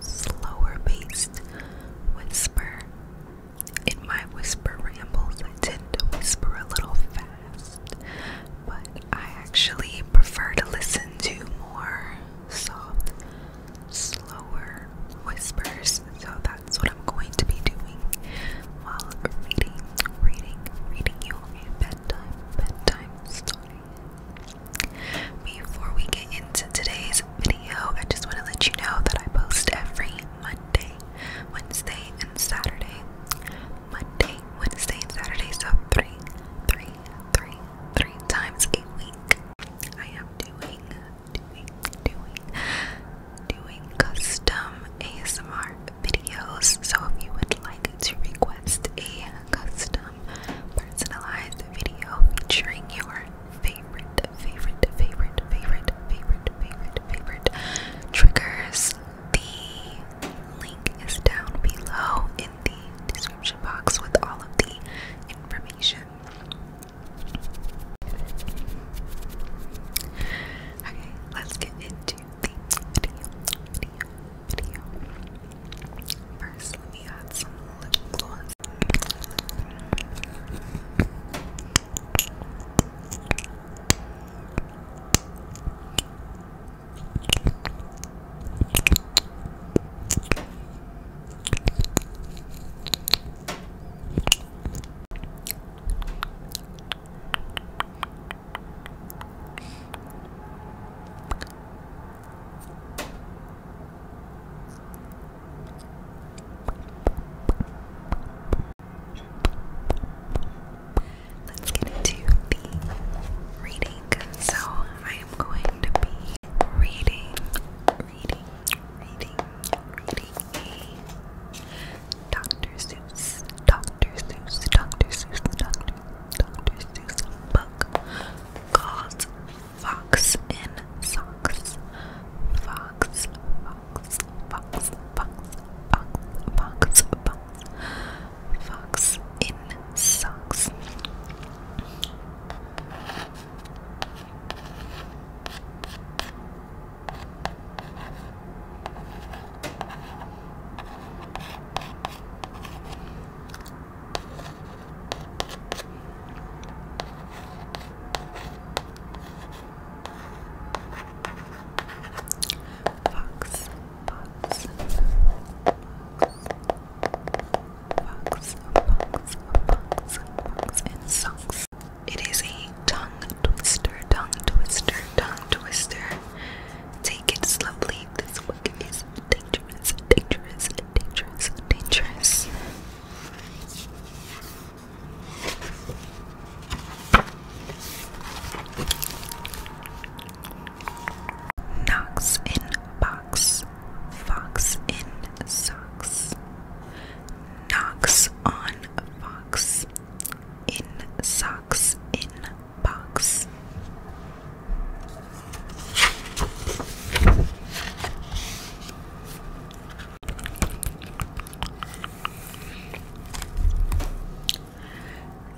slower paced whisper. In my whisper rambles, I tend to whisper a little fast, but I actually prefer to listen to more soft, slower whispers. So that's what I'm going to be doing while reading, reading, reading you a bedtime, bedtime story. Before we get into today's video, I just want to let you know that I post every Monday, Wednesday, and Saturday. Monday, Wednesday, Saturday, so three, three, three, three times a week. I am doing, doing, doing, doing custom ASMR videos. So if you would like to request a custom um, personalized video featuring your favorite, favorite, favorite, favorite, favorite, favorite, favorite triggers. The link is down below in the description box with all of the information. Okay, let's get into the video first, let me add some lip gloss. Let's get into the reading. So I am going to be reading, reading, reading, reading a Dr. Seuss, Dr. Seuss, Dr. Seuss, Dr. Dr. Seuss book called fox in socks. Fox, fox, fox, fox, fox, fox, fox, fox in socks. Fox, fox, fox, fox, fox, fox, fox, and socks. It is a tongue twister, tongue twister, tongue twister. Take it slowly. This book is dangerous, dangerous, dangerous, dangerous. Knocks in box, fox in socks. Knocks on fox, in socks in box.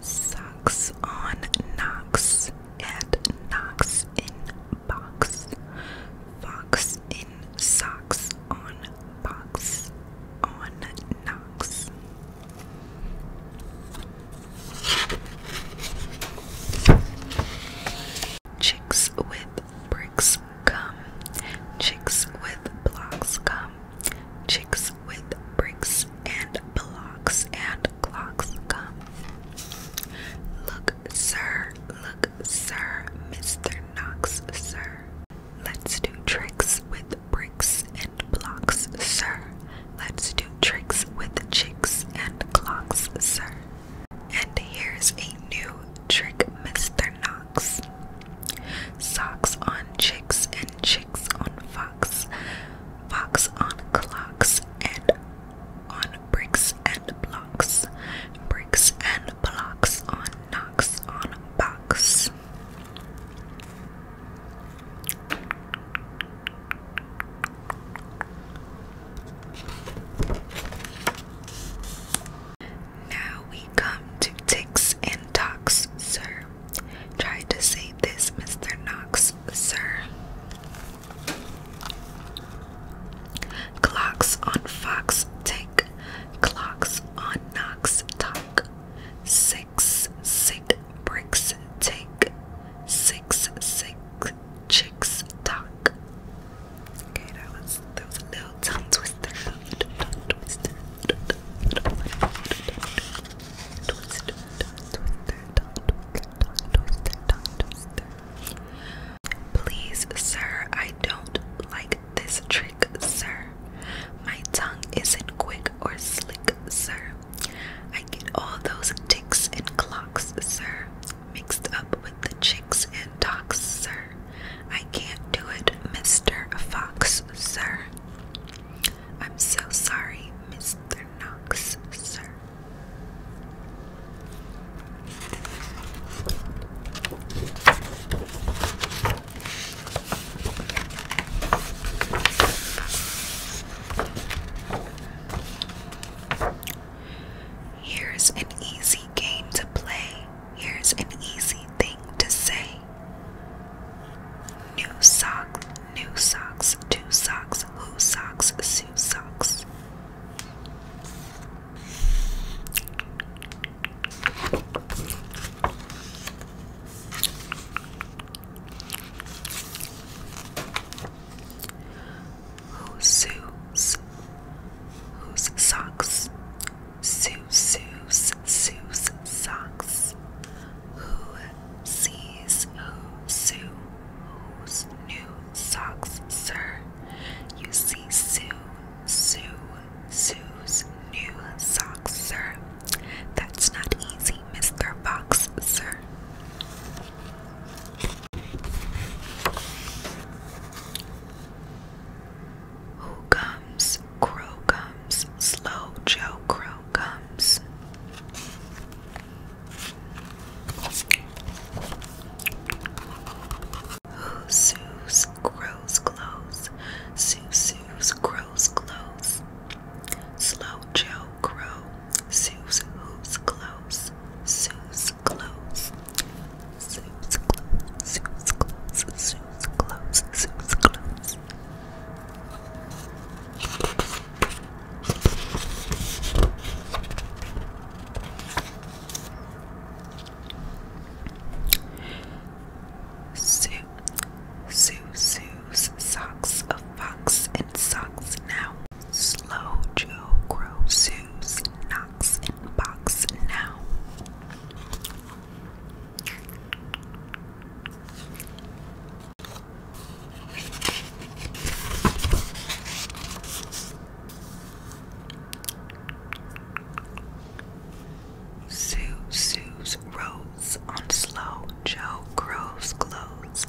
Socks on knocks and knocks in box. Fox in socks on box on knocks. Chicks with bricks come. Chicks with blocks come. Chicks with bricks and blocks and clocks come. Look, sir. Look, sir. Mr. Knox, sir. Let's do tricks with bricks and blocks, sir. Let's do tricks with chicks and clocks, sir. And here's a new trick, Mr. Knox. Socks on chicks and chicks on fox, fox on clocks and on bricks and blocks, bricks and blocks on Knox on box. Now we come to ticks and tocks, sir. Try to say this, Mr. Knox, sir. Clocks on fox tick, clocks on Knox talk. Six, six bricks take, six, six chicks talk. Okay, that was that was a little tongue twister. Tongue twister. Tongue twister. Tongue twister. Please, sir, I don't like this trick, sir. My tongue isn't quick or slick, sir. I get all those ticks and clocks, sir, mixed up with the chick kicks and talks, sir. I can't do it, Mr. Fox, sir. I'm so sorry, Mr. Knox, sir. Here's an easy game to play. Here's an easy thing to say. New socks, new socks, new socks, who socks, Sue socks who sews, whose socks, sue, sews, sews, socks, who sees, who sews whose new socks, sir, you see, sue, sue, sue's new socks, sir, that's not easy, Mr. Fox, sir. Who comes? Crow comes. Slow Joe Crow comes. Who soos? Grows close. Sue soos. Grows close. Slow Joe Crow. Soos who's close. Soos Sue's clothes. Sue's clothes. Sue's clothes. Sue's clothes. Sue's clothes. Sue, Sue, Sue's socks of fox and socks now. Slow Joe grow Sue's not box and box now. Sue Sue's rose on slow, Joe grows clothes.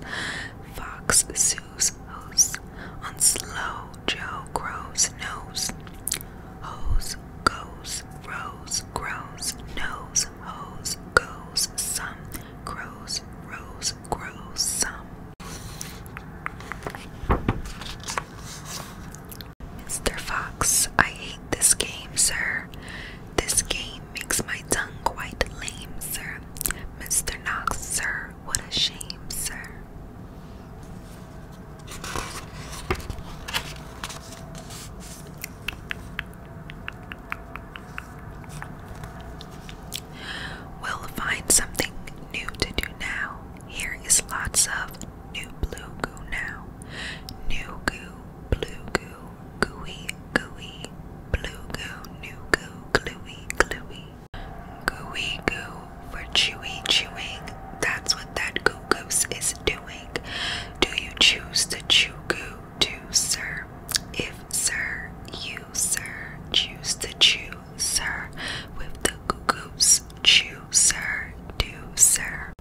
Fox Sue shoes hose on Slow Joe Crow's nose. Hose goes, rose grows, nose hose goes, some grows, rose grows, some. Mr. Fox, I hate this game, sir. This game makes my tongue quite lame, sir. Mr. Knox, sir, what a shame, sir. We'll find something new to do now. Here is lots of new blue goo now. New goo, blue goo, gooey, gooey, blue goo, new goo, gluey, gluey. Gooey goo for chewy chewing. That's what that goo goose is doing. Do you choose to chew goo too, sir? If sir, you sir choose to chew, sir, with the goo goose, chew, sir, do, sir.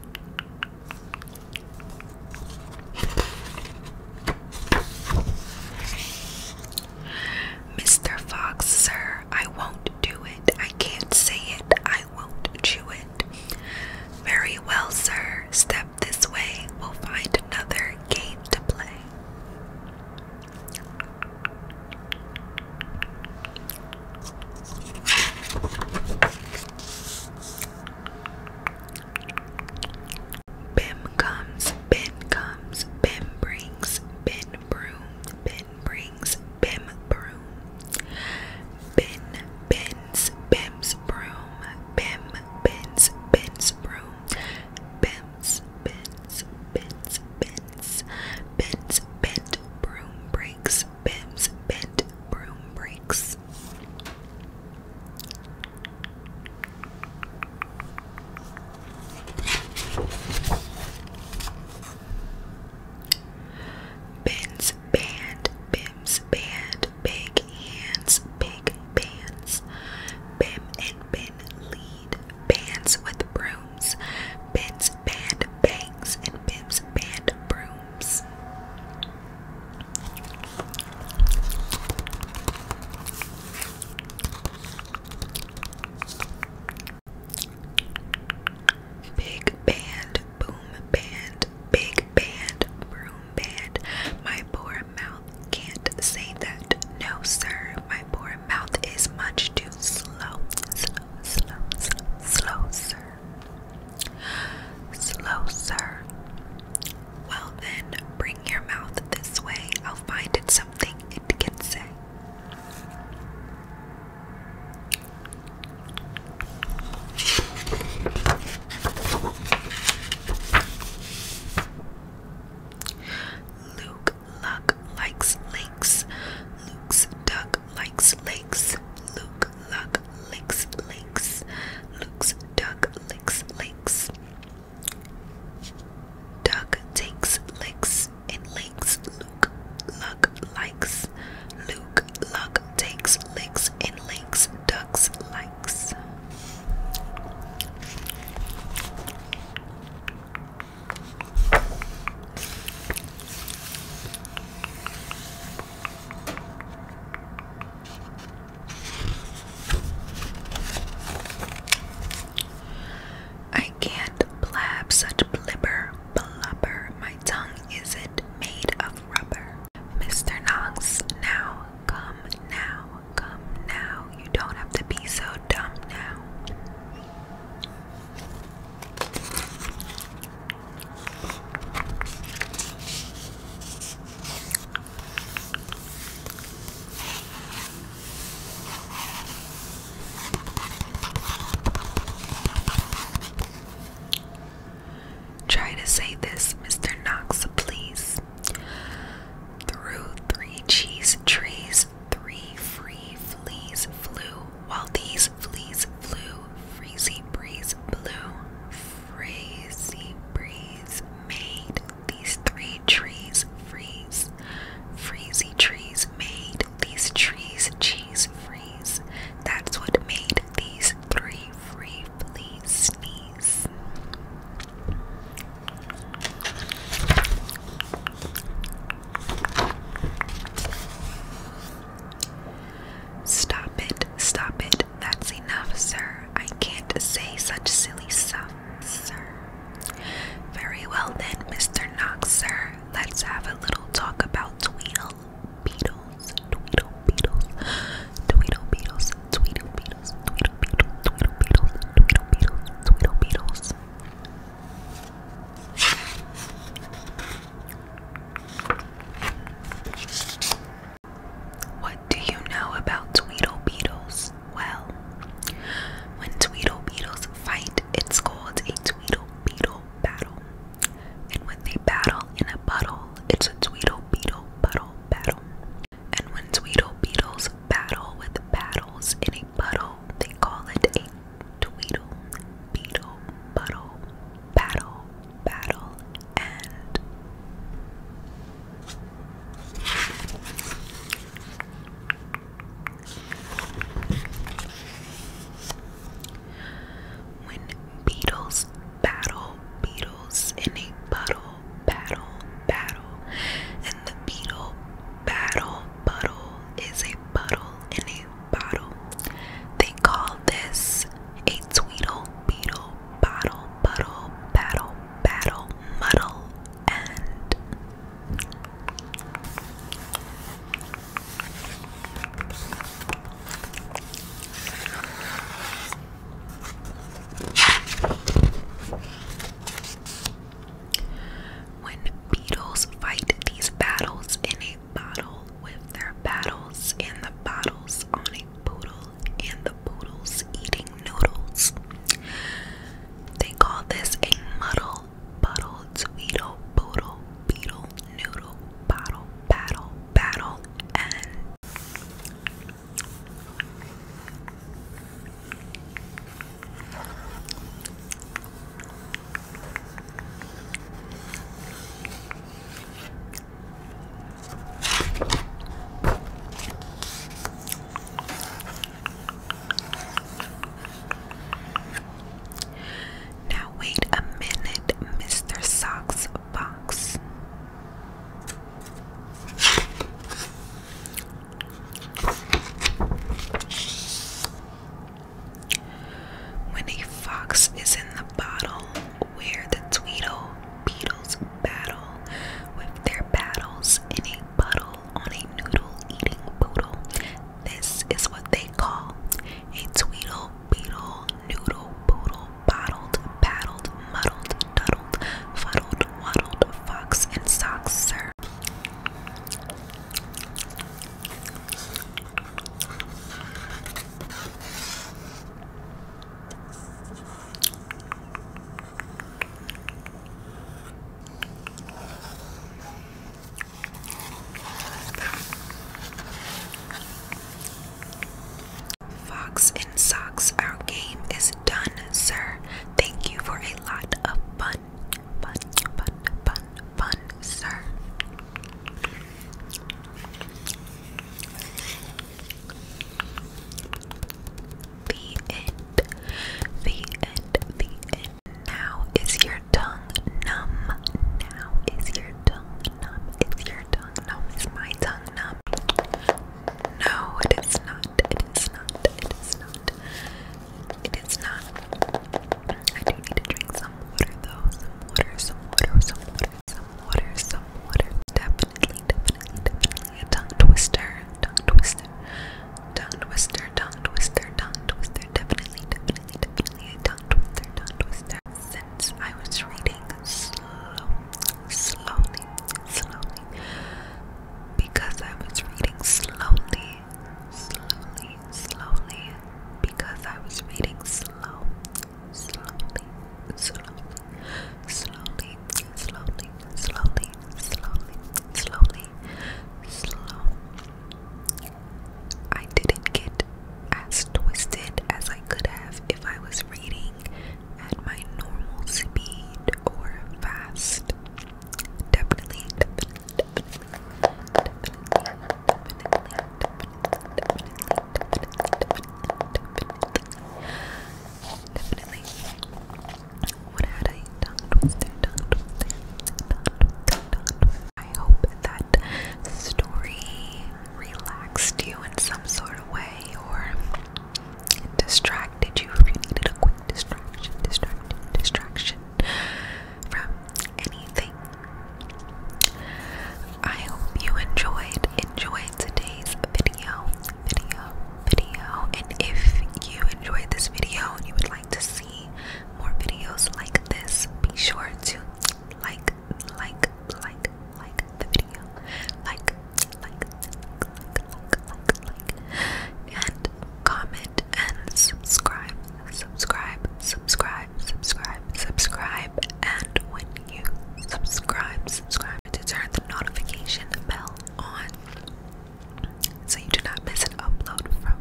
Mr. Fox, sir, I won't do it. I can't say it. I won't chew it. Very well, sir. Step this way. We'll find another game to play. Bim comes, Bin comes, Bim brings, Bin broom, Bin Bin brings Bim broom. bim bins Bim's broom. Bim bins Bim's broom. Bim's bins bins bins. Bins bent broom breaks. Bim's bent broom breaks. Bim's band, Bim's band, big hands, big bands. Bim and Ben lead bands with brooms. Bim's band bangs and Bim's band brooms. Big band, boom band, big band, boom band. My poor mouth can't say that. No, sir, my poor mouth is much too slow. Slow, slow, slow, slow, sir. Slow, sir. Well, then, bring your mouth this way. I'll find it something it can say. Luke Luck likes lakes. Luke's duck likes lakes. Luke Luck licks lakes. Luke's duck licks lakes. Duck takes licks likes and links Luke luck likes Luke luck takes licks and links ducks likes I I can't blab such blibber blubber. My tongue isn't made of rubber. Mr. Knox, now, come now, come now. You don't have to be so dumb now. Try to say this, Mr. Knox, please. Through three cheese trees, three free fleas flew, while these fleas flew, freezy breeze blew. Freezy breeze made these three trees freeze. Freezy trees made these trees cheese freeze. That's what made these three free sneeze. Stop it, stop it, that's enough, sir. I can't say such silly stuff, sir. Very well then, Mr. Knox, sir let's have a little talk about Tweedle Beetles. Tweedle Beetles. Tweedle Beetles. Tweedle Beetles. Tweedle Beetles. Tweedle Beetles. Tweedle Beetles. Tweedle Beetles. What do you know about Tweedle Beetles? Well, when Tweedle Beetles fight, it's called a Tweedle Beetle battle. And when they battle in a puddle, it's a Tweedle Beetle puddle battle. And when Tweedle Beetles battle with paddles in a puddle, they call it a Tweedle Beetle puddle battle battle and when beetles battle, beetles in a puddle, battle, battle, and the beetle battle, puddle is a puddle in a bottle. They call this a tweedle, beetle, bottle, puddle, battle, battle, muddle, and when beetles fight these battles in a bottle with their battles and the bottles on a poodle and the poodles eating noodles. They call this a muddle Buttle, Tweedle, Boodle, Beetle, Noodle, Bottle, Battle, Battle, and now, wait a minute, Mr. Socks Box. When a fox is in the bottle, where the Tweedle beetles battle with their battles in a puddle on a noodle eating poodle, this is what they call a tweedle, beetle, noodle, poodle, bottled, battled, muddled, duddled, fuddled, waddled, fox, and socks, sir. Fox and Socks, our game is done, sir. Thank you for a lot of fun. Fun, fun, fun, fun, sir. The end. The end. The end. Now is your tongue numb. Now is your tongue numb. Is your tongue numb? Is my tongue numb? No, it is not. It is not. It is not. It is not. I do need to drink some water though. Some water, some water, some water, some water, some water. Definitely, definitely, definitely. A tongue twister. Tongue twister. Tongue twister. Tongue twister. Tongue twister. Definitely, definitely, definitely tongue twister, tongue twister. Since I was reading slow, slowly, slowly, because I was reading slowly, slowly, slowly, because I was reading slow, slowly, slowly, slowly, slowly, slowly, slowly, slowly, slow. I didn't get as twisted as I could have if I was reading at my normal speed or fast. Definitely, What had I tongue I hope that story relaxed you in some sort of way or distracted you if you needed a quick distraction, distraction, distraction from anything. I hope you enjoyed enjoyed today's video, video, video. And if you enjoyed this video and you would like to see more videos like this, be sure to like, like, like, like the video, like, like, like, like, like, like, and comment and subscribe, subscribe, subscribe, subscribe, subscribe, and when you subscribe, subscribe to turn the notification bell on so you do not miss an upload from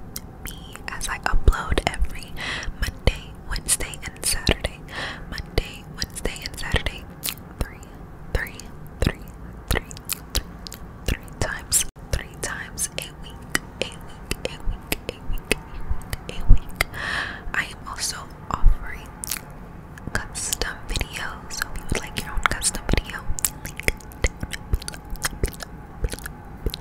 me as I upload every Monday, Wednesday, and Saturday. Monday, Wednesday, and Saturday. Three, three, three, three, three times, three times a week, a week, a week, a week, a week, I am also offering custom videos. So if you would like your own custom video, link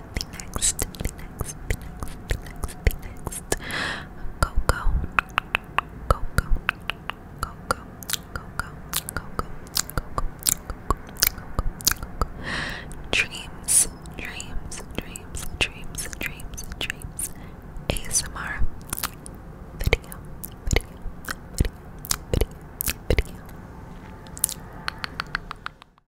the next, the next, the next, the next, the next. Coco, Coco, Coco, Coco, Coco, Coco, Coco, Dreams, dreams, dreams, dreams, dreams, dreams. ASMR video, video, video, video, video.